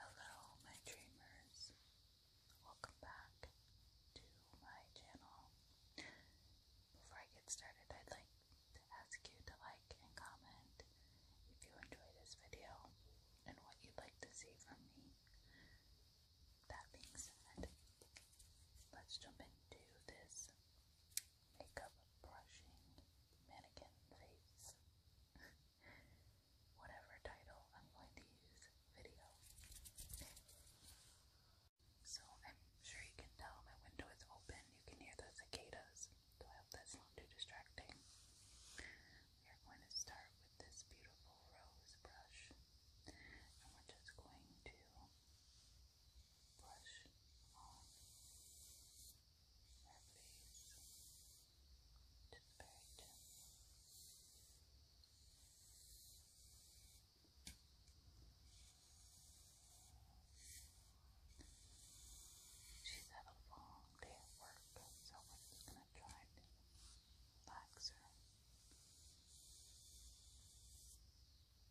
Hello, my dreamers. Welcome back to my channel. Before I get started, I'd like to ask you to like and comment if you enjoy this video and what you'd like to see from me. That being said, let's jump into this makeup brushing mannequin face. Whatever title I'm going to use video. So I'm sure you can tell my window is open. You can hear the cicadas. So I hope that's not too distracting. We are going to start with this beautiful rose brush. And we're just going to brush on your face to the She's had a long day at work, so we're just going to try to relax her.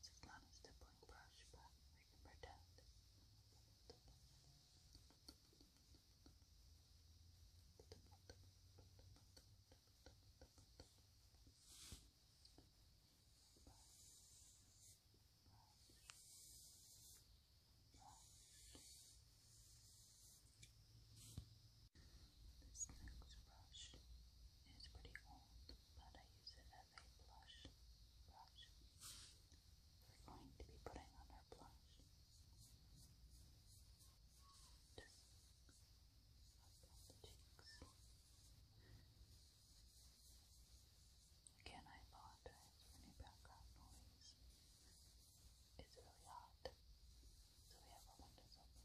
this is not stippling brush, but we can pretend. This next brush is pretty old, but I use it as with a blush We're going to be putting on our blush. Just up the cheeks. Again, I apologize for any background noise. It's really hot, so we have our windows open.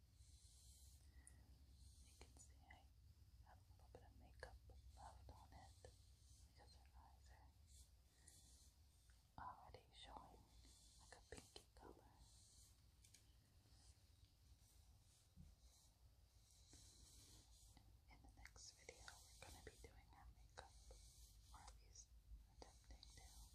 You can see I have a little bit of makeup left on it because her eyes are already showing like a pinky color. In the next video, we're going to be doing her makeup, or at attempting to. Good.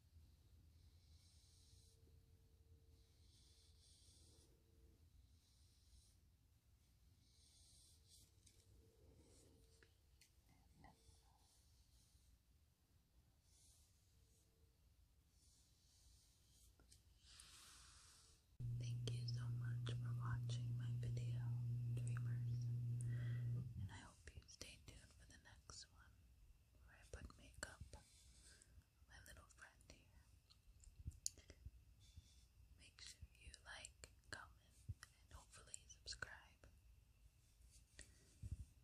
Thank you so much for watching my video, dreamers, and I stay tuned for the next one where I put makeup my little friend here. Make sure you like, comment, and hopefully subscribe. And I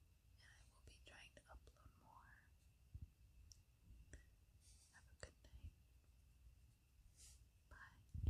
will be trying to upload more. Have a good night. Bye.